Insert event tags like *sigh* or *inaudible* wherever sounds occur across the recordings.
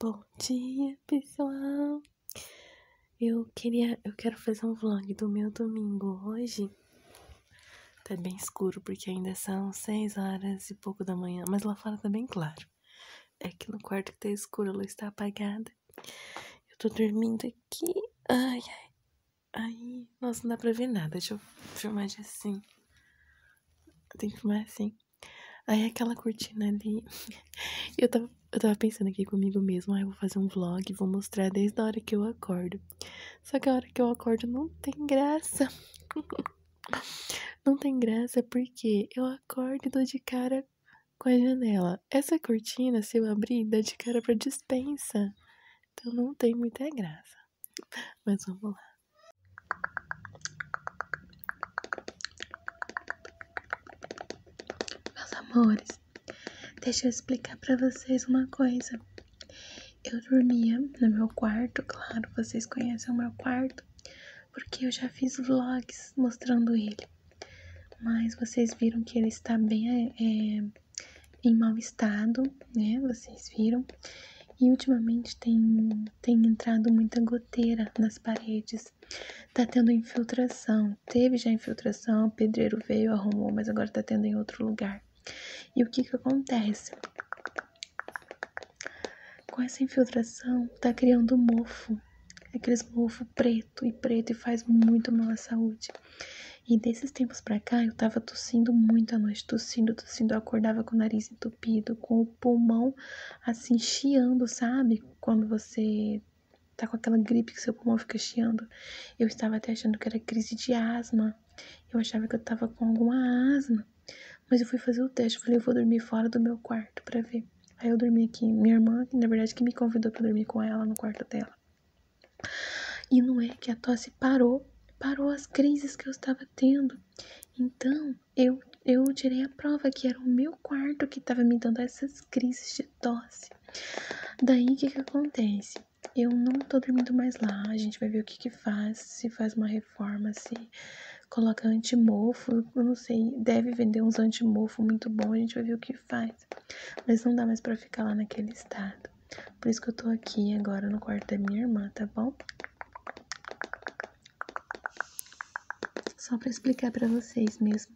Bom dia, pessoal. Eu queria, eu quero fazer um vlog do meu domingo hoje. Tá bem escuro porque ainda são seis horas e pouco da manhã, mas lá fora tá bem claro. É que no quarto que tá escuro, a luz está apagada. Eu tô dormindo aqui. Ai, ai. Ai, nossa, não dá pra ver nada. Deixa eu filmar de assim. Tem que filmar assim. Aí é aquela cortina ali. *laughs* eu, tava, eu tava pensando aqui comigo mesmo, Aí eu vou fazer um vlog, vou mostrar desde a hora que eu acordo. Só que a hora que eu acordo não tem graça. *laughs* não tem graça porque eu acordo e dou de cara com a janela. Essa cortina, se eu abrir, dá de cara pra dispensa. Então não tem muita graça. Mas vamos lá. Meus amores, deixa eu explicar para vocês uma coisa. Eu dormia no meu quarto, claro, vocês conhecem o meu quarto, porque eu já fiz vlogs mostrando ele. Mas vocês viram que ele está bem é, é, em mau estado, né? Vocês viram. E ultimamente tem, tem entrado muita goteira nas paredes. Tá tendo infiltração. Teve já infiltração, o pedreiro veio, arrumou, mas agora tá tendo em outro lugar. E o que que acontece? Com essa infiltração, tá criando mofo. Aqueles mofo preto e preto e faz muito mal à saúde. E desses tempos pra cá, eu tava tossindo muito a noite, tossindo, tossindo. Eu acordava com o nariz entupido, com o pulmão assim chiando, sabe? Quando você tá com aquela gripe que seu pulmão fica chiando. Eu estava até achando que era crise de asma. Eu achava que eu tava com alguma asma. Mas eu fui fazer o teste, falei, eu vou dormir fora do meu quarto para ver. Aí eu dormi aqui, minha irmã, na verdade, que me convidou para dormir com ela no quarto dela. E não é que a tosse parou parou as crises que eu estava tendo. Então, eu, eu tirei a prova que era o meu quarto que estava me dando essas crises de tosse. Daí, o que, que acontece? Eu não estou dormindo mais lá, a gente vai ver o que que faz, se faz uma reforma, se coloca antimofo, eu não sei, deve vender uns antimofo muito bom, a gente vai ver o que faz. Mas não dá mais para ficar lá naquele estado. Por isso que eu tô aqui agora no quarto da minha irmã, tá bom? Só pra explicar pra vocês mesmo,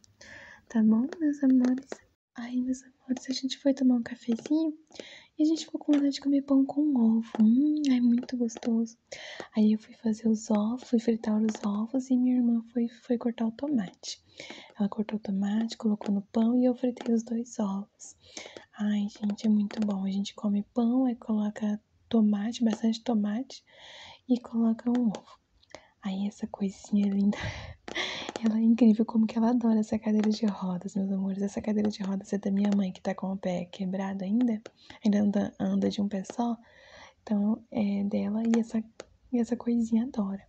tá bom, meus amores? Aí, meus amores, a gente foi tomar um cafezinho e a gente foi com vontade de comer pão com ovo. Hum, é muito gostoso. Aí eu fui fazer os ovos, fui fritar os ovos e minha irmã foi, foi cortar o tomate. Ela cortou o tomate, colocou no pão e eu fritei os dois ovos. Ai, gente, é muito bom. A gente come pão, e coloca tomate, bastante tomate, e coloca um ovo. Aí essa coisinha é linda. *laughs* Ela é incrível como que ela adora essa cadeira de rodas, meus amores. Essa cadeira de rodas é da minha mãe, que tá com o pé quebrado ainda. Ainda anda, anda de um pé só. Então, é dela e essa, e essa coisinha adora.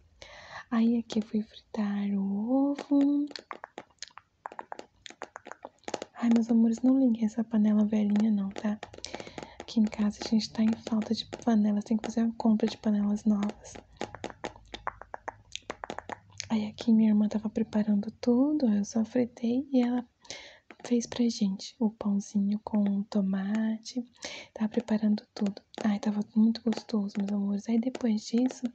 Aí aqui eu fui fritar o ovo. Ai, meus amores, não liguei essa panela velhinha não, tá? Aqui em casa a gente tá em falta de panelas, tem que fazer uma compra de panelas novas. Aí aqui minha irmã tava preparando tudo, eu só fritei e ela fez pra gente o pãozinho com tomate, tava preparando tudo. Ai, tava muito gostoso, meus amores. Aí depois disso,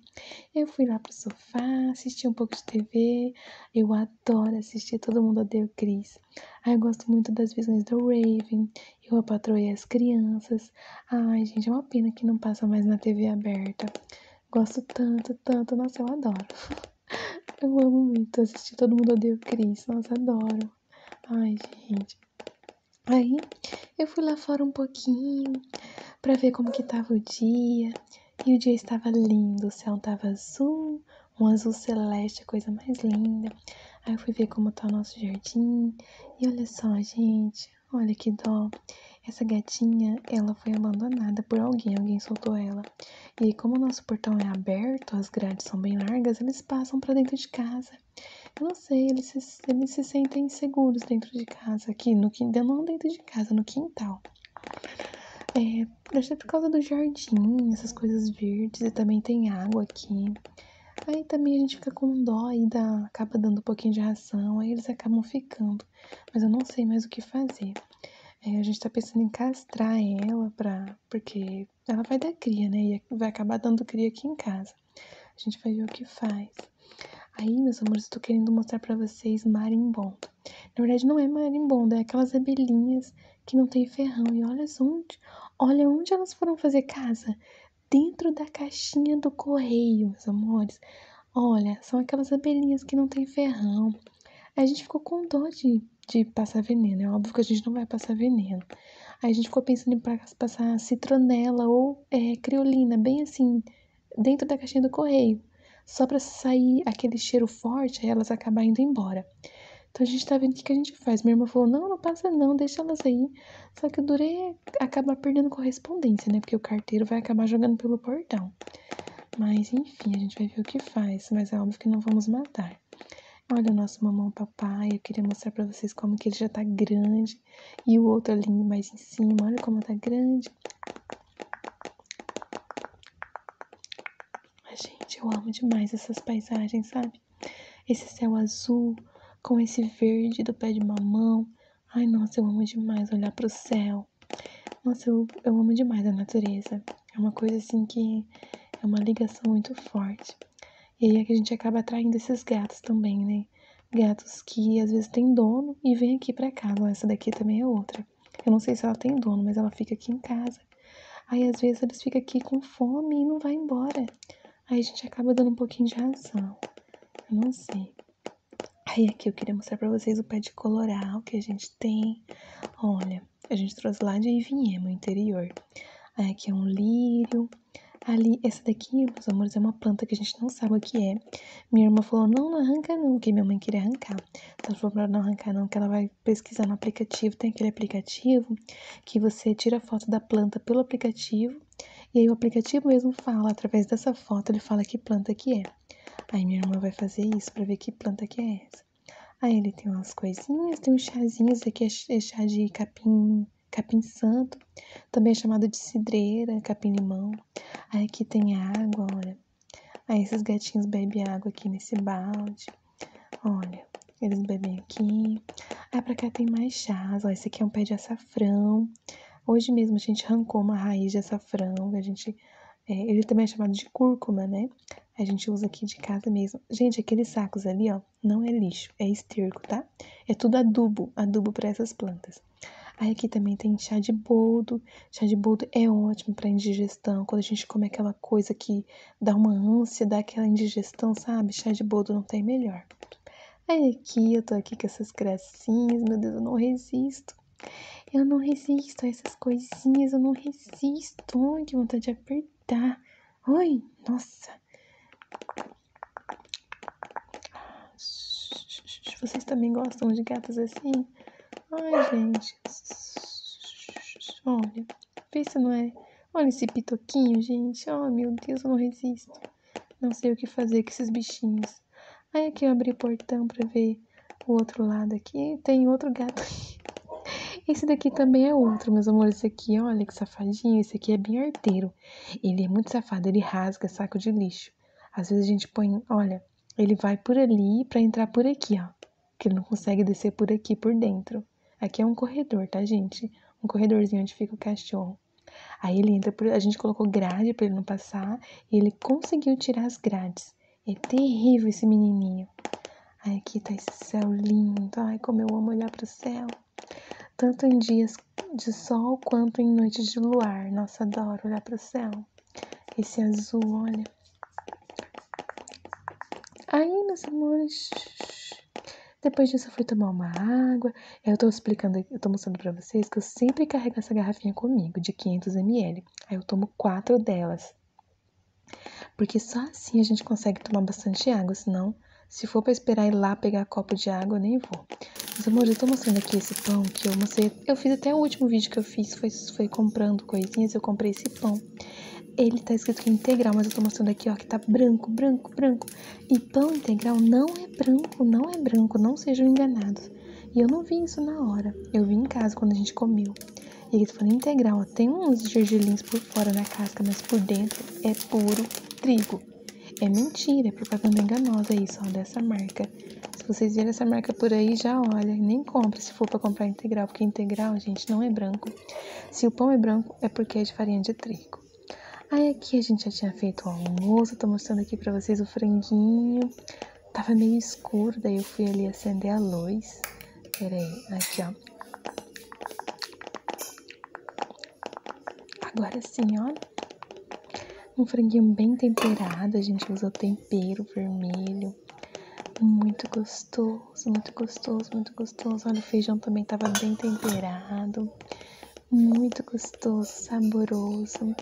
eu fui lá pro sofá, assisti um pouco de TV. Eu adoro assistir Todo Mundo Odeia o Chris. Ai, eu gosto muito das visões do Raven. Eu apatroei as crianças. Ai, gente, é uma pena que não passa mais na TV aberta. Gosto tanto, tanto. Nossa, eu adoro. *laughs* Eu amo muito assistir Todo Mundo Odeia o Chris. Nossa, adoro. Ai, gente. Aí eu fui lá fora um pouquinho para ver como que tava o dia. E o dia estava lindo, o céu estava azul, um azul celeste, coisa mais linda. Aí eu fui ver como está o nosso jardim. E olha só, gente, olha que dó. Essa gatinha, ela foi abandonada por alguém, alguém soltou ela. E como o nosso portão é aberto, as grades são bem largas, eles passam para dentro de casa sei, eles se, eles se sentem seguros dentro de casa, aqui no quintal, não dentro de casa, no quintal. É, acho que é por causa do jardim, essas coisas verdes, e também tem água aqui. Aí também a gente fica com dó e dá, acaba dando um pouquinho de ração, aí eles acabam ficando. Mas eu não sei mais o que fazer. É, a gente tá pensando em castrar ela pra, porque ela vai dar cria, né? E é, vai acabar dando cria aqui em casa. A gente vai ver o que faz. Aí, meus amores, estou querendo mostrar para vocês marimbondo. Na verdade, não é marimbondo, é aquelas abelhinhas que não tem ferrão. E olha onde, olha onde elas foram fazer casa. Dentro da caixinha do correio, meus amores. Olha, são aquelas abelhinhas que não tem ferrão. a gente ficou com dor de, de passar veneno. É óbvio que a gente não vai passar veneno. Aí a gente ficou pensando em passar citronela ou é, criolina, bem assim, dentro da caixinha do correio, só para sair aquele cheiro forte elas acabarem indo embora. Então a gente tá vendo o que, a gente faz. Minha irmã falou: não, não passa não, deixa elas aí. Só que eu Durê acabar perdendo correspondência, né? Porque o carteiro vai acabar jogando pelo portão. Mas enfim, a gente vai ver o que faz. Mas é óbvio que não vamos matar. Olha o nosso mamão papai, eu queria mostrar para vocês como que ele já tá grande. E o outro ali mais em cima, olha como tá grande. Mas, gente, eu amo demais essas paisagens, sabe? Esse céu azul com esse verde do pé de mamão. Ai, nossa, eu amo demais olhar pro céu. Nossa, eu amo demais a natureza. É uma coisa assim que é uma ligação muito forte. E aí é que a gente acaba atraindo esses gatos também, né? Gatos que às vezes têm dono e vem aqui para casa. essa daqui também é outra. Eu não sei se ela tem dono, mas ela fica aqui em casa. Aí às vezes eles ficam aqui com fome e não vai embora. Aí a gente acaba dando um pouquinho de razão. Eu não sei. Aí aqui eu queria mostrar para vocês o pé de coloral que a gente tem. Olha, a gente trouxe lá de Ivinhema, o interior. Aí aqui é um lírio, Ali, essa daqui, meus amores, é uma planta que a gente não sabe o que é. Minha irmã falou, não, não arranca não, porque minha mãe queria arrancar. Então, ela falou pra não arrancar não, que ela vai pesquisar no aplicativo. Tem aquele aplicativo que você tira a foto da planta pelo aplicativo. E aí o aplicativo mesmo fala, através dessa foto, ele fala que planta que é. Aí minha irmã vai fazer isso pra ver que planta que é essa. Aí ele tem umas coisinhas, tem um chazinhos, esse aqui é, é chá de capim capim santo, também é chamado de cidreira, capim-limão. Aí aqui tem água, olha. Aí esses gatinhos bebem água aqui nesse balde. Olha, eles bebem aqui. Aí ah, pra cá tem mais chás, ó. Esse aqui é um pé de açafrão. Hoje mesmo a gente arrancou uma raiz de açafrão, a gente... É, ele também é chamado de cúrcuma, né? A gente usa aqui de casa mesmo. Gente, aqueles sacos ali, ó, não é lixo, é esterco, tá? É tudo adubo, adubo para essas plantas. Aí aqui também tem chá de boldo. Chá de boldo é ótimo para indigestão. Quando a gente come aquela coisa que dá uma ânsia, dá aquela indigestão, sabe? Chá de boldo não tem melhor. Aí aqui eu tô aqui com essas gracinhas, meu Deus, eu não resisto. Eu não resisto a essas coisinhas, eu não resisto. Ai, que vontade de apertar. Oi, nossa. Vocês também gostam de gatos assim? Ai, gente. Olha, pensa, não é? Olha esse pitoquinho, gente. Oh, meu Deus, eu não resisto. Não sei o que fazer com esses bichinhos. Aí aqui eu abri o portão pra ver o outro lado aqui. Tem outro gato Esse daqui também é outro, meus amores esse aqui, olha que safadinho, esse aqui é bem arteiro. Ele é muito safado, ele rasga saco de lixo. Às vezes a gente põe, olha, ele vai por ali para entrar por aqui, ó. Que ele não consegue descer por aqui, por dentro. Aqui é um corredor, tá, gente? Um corredorzinho onde fica o cachorro. Aí ele entra por. A gente colocou grade para ele não passar e ele conseguiu tirar as grades. É terrível esse menininho. aqui tá esse céu lindo. Ai, como eu amo olhar pro céu tanto em dias de sol quanto em noites de luar. Nossa, adoro olhar para o céu. Esse azul, olha. Aí, meus amores, depois disso eu fui tomar uma água. Eu estou explicando, eu tô mostrando para vocês que eu sempre carrego essa garrafinha comigo, de 500 ml. Aí eu tomo quatro delas. Porque só assim a gente consegue tomar bastante água, senão se for para esperar ir lá pegar copo de água, nem vou. meus amores eu tô mostrando aqui esse pão que eu mostrei. Eu fiz até o último vídeo que eu fiz, foi, comprando coisinhas, eu comprei esse pão. Ele tá escrito que é integral, mas eu tô mostrando aqui, ó, que tá branco, branco, branco. E pão integral não é branco, não é branco, não sejam enganados. E eu não vi isso na hora, eu vi em casa quando a gente comeu. E ele tá falou integral, ó, tem uns gergelins por fora na casca, mas por dentro é puro trigo. É mentira, é propaganda enganosa isso, ó, dessa marca. Se vocês viram essa marca por aí, já olha, nem compra se for para comprar integral, porque integral, gente, não é branco. Se o pão é branco, é porque é de farinha de trigo. Aí aqui a gente já tinha feito o almoço, Estou mostrando aqui para vocês o franguinho. Tava meio escuro, daí eu fui ali acender a luz. Peraí, aqui ó. Agora sim, ó. Um franguinho bem temperado, a gente usou tempero vermelho. Muito gostoso, muito gostoso, muito gostoso. Olha, o feijão também tava bem temperado. Muito gostoso, saboroso.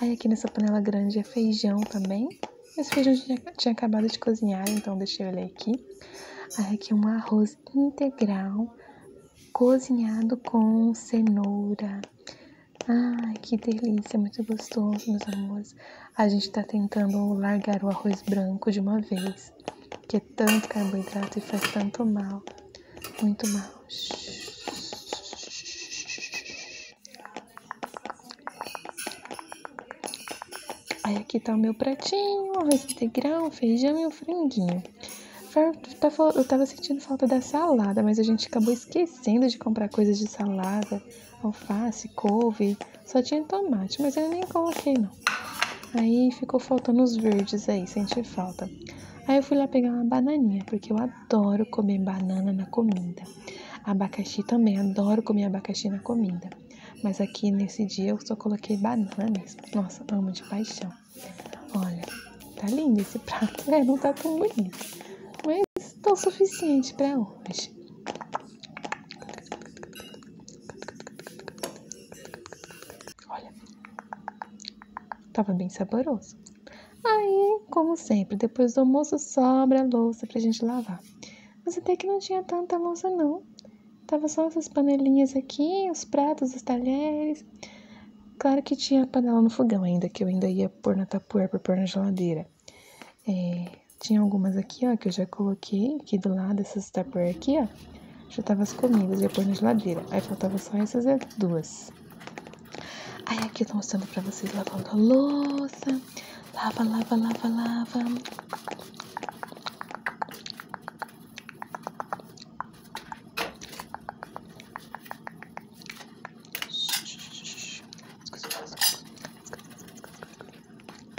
Aí aqui nessa panela grande é feijão também. Esse feijão tinha, tinha acabado de cozinhar, então deixei ele aqui. Aí aqui um arroz integral cozinhado com cenoura. Ai, que delícia, muito gostoso, meus amores. A gente tá tentando largar o arroz branco de uma vez, que é tanto carboidrato e faz tanto mal, muito mal. Aí aqui tá o meu pratinho, arroz grão feijão e o franguinho. Tá eu tava sentindo falta da salada, mas a gente acabou esquecendo de comprar coisas de salada, alface, couve, só tinha tomate, mas eu nem coloquei não. Aí ficou faltando os verdes aí, senti falta. Aí eu fui lá pegar uma bananinha, porque eu adoro comer banana na comida. Abacaxi também, adoro comer abacaxi na comida. Mas aqui nesse dia eu só coloquei bananas. Nossa, amo de paixão. Olha, tá lindo esse prato, né? Não tá tão bonito. Mas tão tá suficiente para hoje. Olha. Tava bem saboroso. Aí, como sempre, depois do almoço sobra a louça pra gente lavar. Mas até que não tinha tanta louça não. Tava só essas panelinhas aqui, os pratos, os talheres. Claro que tinha a panela no fogão ainda, que eu ainda ia pôr na tapuer pra pôr na geladeira. É, tinha algumas aqui, ó, que eu já coloquei aqui do lado, essas tapuer aqui, ó. Já tava as comidas, ia pôr na geladeira. Aí faltava só essas duas. Aí aqui eu tô mostrando para vocês lavando a louça. Lava, lava, lava, lava.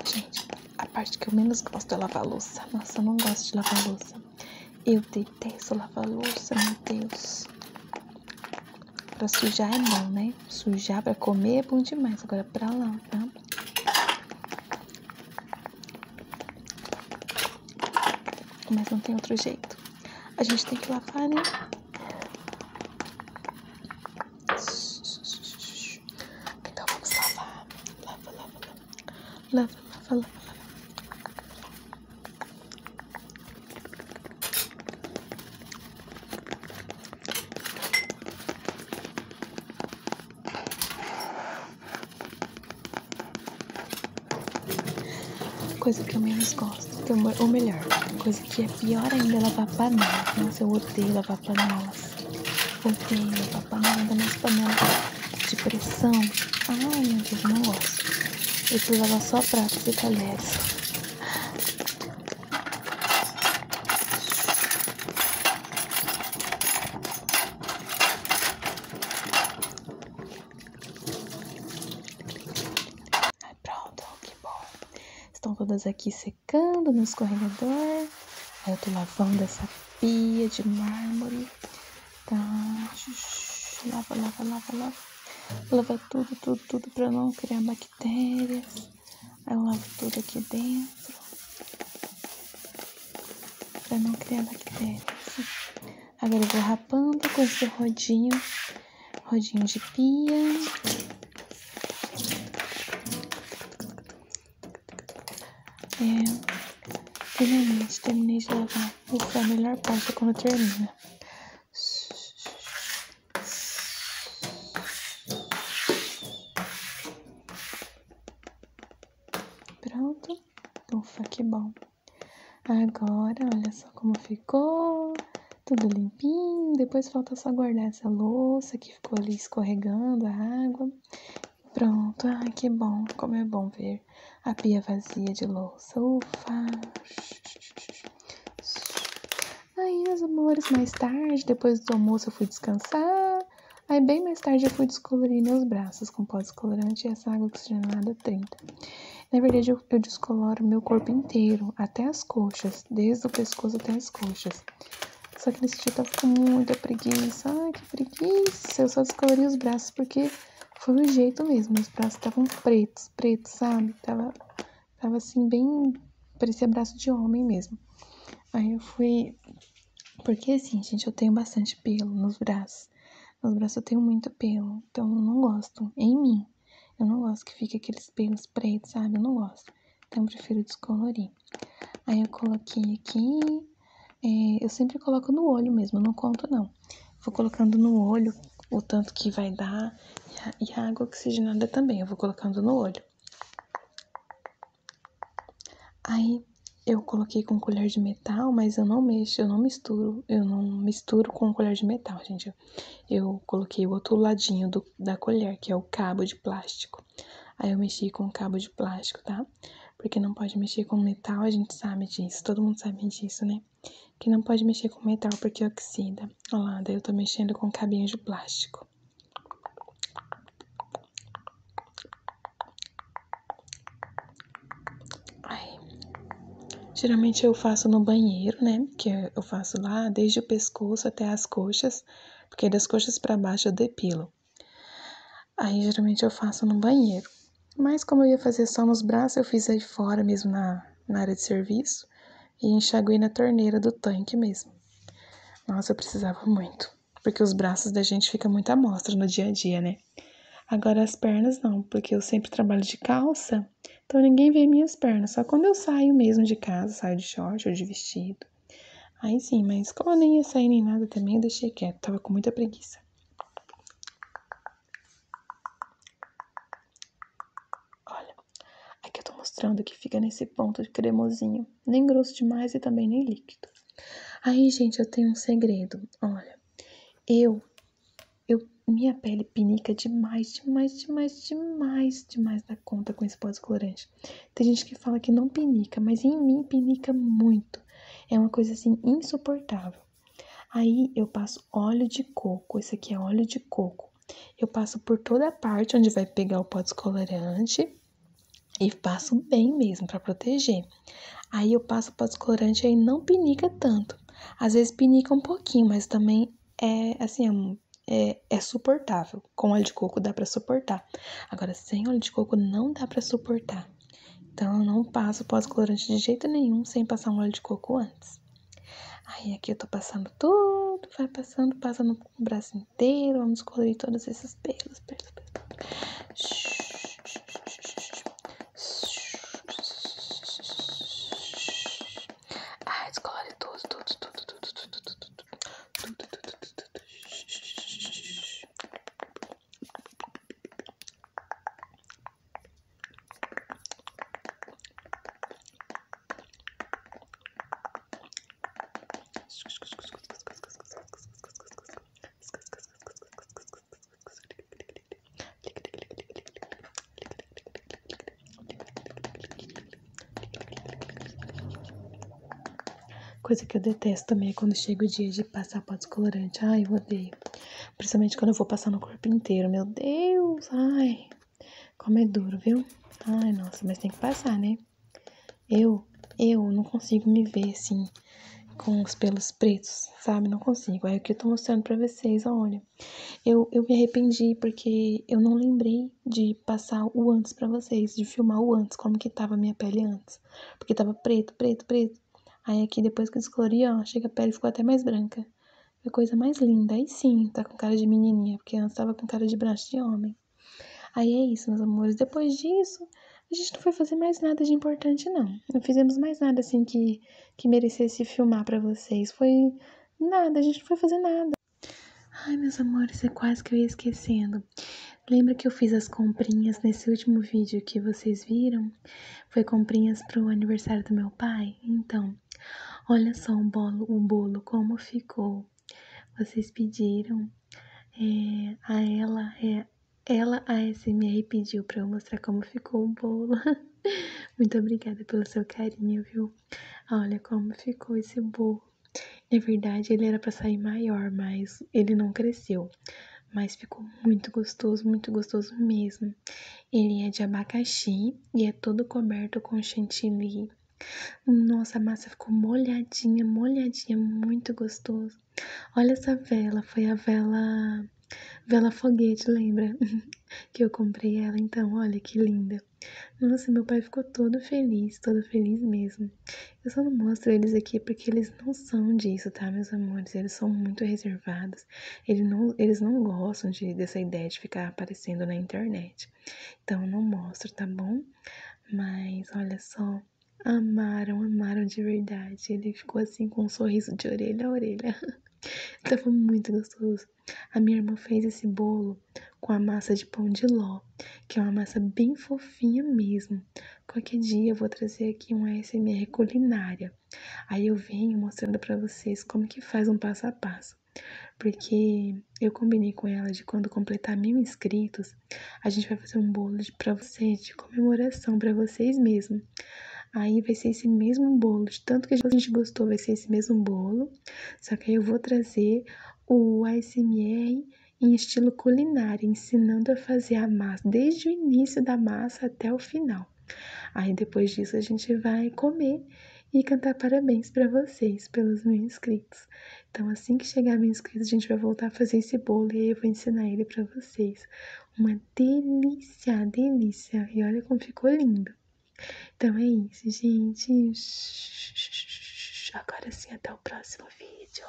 Gente, a parte que eu menos gosto é lavar louça. Nossa, eu não gosto de lavar louça. Eu detesto lavar louça, meu Deus. Pra sujar é bom, né? Sujar pra comer é bom demais. Agora pra lavar. Mas não tem outro jeito. A gente tem que lavar, né? Então vamos lavar. Lava, lava, lava. Lava, lava, lava, Coisa que eu menos gosto, é ou melhor, coisa que é pior ainda é lavar panelas. Nossa, eu odeio lavar panelas. Odeio lavar panelas, ainda mais panelas de pressão. Ai, meu Deus, não gosto. Eu preciso lavar só pratos e talheres. Pronto, que bom. Estão todas aqui secando no escorregador. Aí eu tô lavando essa pia de mármore. Tá. Lava, lava, lava, lava. Lava tudo, tudo, tudo para não criar bactérias bactérias. Aí eu lavo tudo aqui dentro para não criar bactérias. Agora eu vou rapando com esse rodinho, rodinho de pia. É, finalmente terminei de lavar. Ufa, a melhor parte é quando termina. Pronto. Ufa, que bom. Agora, olha só como ficou. Tudo limpinho. Depois falta só guardar essa louça que ficou ali escorregando a água. Pronto. Ah, que bom. Como é bom ver a pia vazia de louça. Ufa. Aí, meus amores, mais tarde, depois do almoço, eu fui descansar. Aí, bem mais tarde, eu fui descolorir meus braços com pó descolorante e essa água oxigenada 30. Na verdade, eu, descoloro meu corpo inteiro, até as coxas, desde o pescoço até as coxas. Só que nesse dia eu tava com muita preguiça. Ai, que preguiça! Eu só descolori os braços porque foi o jeito mesmo. Os braços estavam pretos, pretos, sabe? Tava Tava assim, bem. Parecia braço de homem mesmo. Aí eu fui. Porque assim, gente, eu tenho bastante pelo nos braços. Nos braços eu tenho muito pelo. Então eu não gosto. Em mim. Eu não gosto que fique aqueles pelos pretos, sabe? Eu não gosto. Então eu prefiro descolorir. Aí eu coloquei aqui. É, eu sempre coloco no olho mesmo, não conto não. Vou colocando no olho o tanto que vai dar e a água oxigenada também. Eu vou colocando no olho. Aí eu coloquei com colher de metal, mas eu não mexo, eu não misturo, eu não misturo com colher de metal, gente. Eu coloquei o outro ladinho do, da colher, que é o cabo de plástico. Aí eu mexi com o cabo de plástico, tá? Porque não pode mexer com metal, a gente sabe disso, todo mundo sabe disso, né? que não pode mexer com metal porque oxida. Olá, daí eu tô mexendo com cabinhos de plástico. Ai. Geralmente eu faço no banheiro, né? Que eu faço lá desde o pescoço até as coxas, porque das coxas para baixo eu depilo. Aí geralmente eu faço no banheiro. Mas como eu ia fazer só nos braços, eu fiz aí fora mesmo na, na área de serviço e enxaguei na torneira do tanque mesmo. Nossa, eu precisava muito, porque os braços da gente ficam muito à mostra no dia a dia, né? Agora as pernas não, porque eu sempre trabalho de calça, então ninguém vê minhas pernas, só quando eu saio mesmo de casa, saio de short ou de vestido. Aí sim, mas como eu nem ia sair nem nada também, eu deixei quieto, tava com muita preguiça. Olha, aqui eu tô mostrando que fica nesse ponto cremosinho. Nem grosso demais e também nem líquido. Aí, gente, eu tenho um segredo. Olha, eu... eu minha pele pinica demais, demais, demais, demais, demais da conta com esse pós-colorante. Tem gente que fala que não pinica, mas em mim pinica muito. É uma coisa assim insuportável. Aí eu passo óleo de coco. Esse aqui é óleo de coco. Eu passo por toda a parte onde vai pegar o pó descolorante e passo bem mesmo para proteger. Aí eu passo o pó descolorante aí não pinica tanto. Às vezes pinica um pouquinho, mas também é assim, é, é, é suportável. Com óleo de coco dá para suportar. Agora sem óleo de coco não dá para suportar. Então eu não passo pós-colorante de jeito nenhum sem passar um óleo de coco antes. Aí aqui eu tô passando tudo, vai passando, passa o braço inteiro, vamos colorir todos esses pelos, pelos, pelos. Ai, descolore tudo, tudo, tudo, tudo, tudo, tudo, tudo, tudo, tudo, tudo. Coisa que eu detesto também é quando chega o dia de passar pó descolorante. Ai, eu odeio. Principalmente quando eu vou passar no corpo inteiro. Meu Deus, ai. Como é duro, viu? Ai, nossa, mas tem que passar, né? Eu, eu não consigo me ver assim, com os pelos pretos, sabe? Não consigo. É o que eu tô mostrando pra vocês, olha. Eu, eu me arrependi porque eu não lembrei de passar o antes pra vocês, de filmar o antes, como que tava a minha pele antes. Porque tava preto, preto, preto. Aí aqui, depois que eu descolori, ó, chega a pele ficou até mais branca a coisa mais linda. Aí sim, tá com cara de menininha, porque antes tava com cara de braço de homem. Aí é isso, meus amores. Depois disso, a gente não foi fazer mais nada de importante, não. Não fizemos mais nada assim que, que merecesse filmar para vocês. Foi nada, a gente não foi fazer nada. Ai, meus amores, é quase que eu ia esquecendo. Lembra que eu fiz as comprinhas nesse último vídeo que vocês viram? Foi comprinhas pro aniversário do meu pai? Então, olha só o bolo, o bolo como ficou. Vocês pediram é, a ela, é, ela a SMR pediu para eu mostrar como ficou o bolo. *laughs* Muito obrigada pelo seu carinho, viu? Olha como ficou esse bolo. Na verdade, ele era para sair maior, mas ele não cresceu. Mas ficou muito gostoso, muito gostoso mesmo. Ele é de abacaxi e é todo coberto com chantilly. Nossa, a massa ficou molhadinha, molhadinha, muito gostoso. Olha essa vela, foi a vela vela foguete, lembra? *laughs* que eu comprei ela então, olha que linda. Nossa, meu pai ficou todo feliz, todo feliz mesmo. Eu só não mostro eles aqui porque eles não são disso, tá, meus amores? Eles são muito reservados eles não gostam dessa ideia de ficar aparecendo na internet. Então não mostro, tá bom? Mas olha só, amaram, amaram de verdade. Ele ficou assim com um sorriso de orelha a orelha. *laughs* Tava então, muito gostoso. A minha irmã fez esse bolo com a massa de pão de ló, que é uma massa bem fofinha mesmo. Qualquer dia eu vou trazer aqui um ASMR culinária. Aí eu venho mostrando para vocês como que faz um passo a passo, porque eu combinei com ela de quando completar mil inscritos, a gente vai fazer um bolo para vocês de comemoração para vocês mesmo. Aí vai ser esse mesmo bolo, de tanto que a gente gostou, vai ser esse mesmo bolo, só que aí eu vou trazer o ASMR em estilo culinário, ensinando a fazer a massa, desde o início da massa até o final. Aí depois disso a gente vai comer e cantar parabéns para vocês pelos mil inscritos. Então assim que chegar mil inscritos a gente vai voltar a fazer esse bolo e eu vou ensinar ele para vocês. Uma delícia, delícia. E olha como ficou lindo. Então é isso, gente. Agora sim, até o próximo vídeo.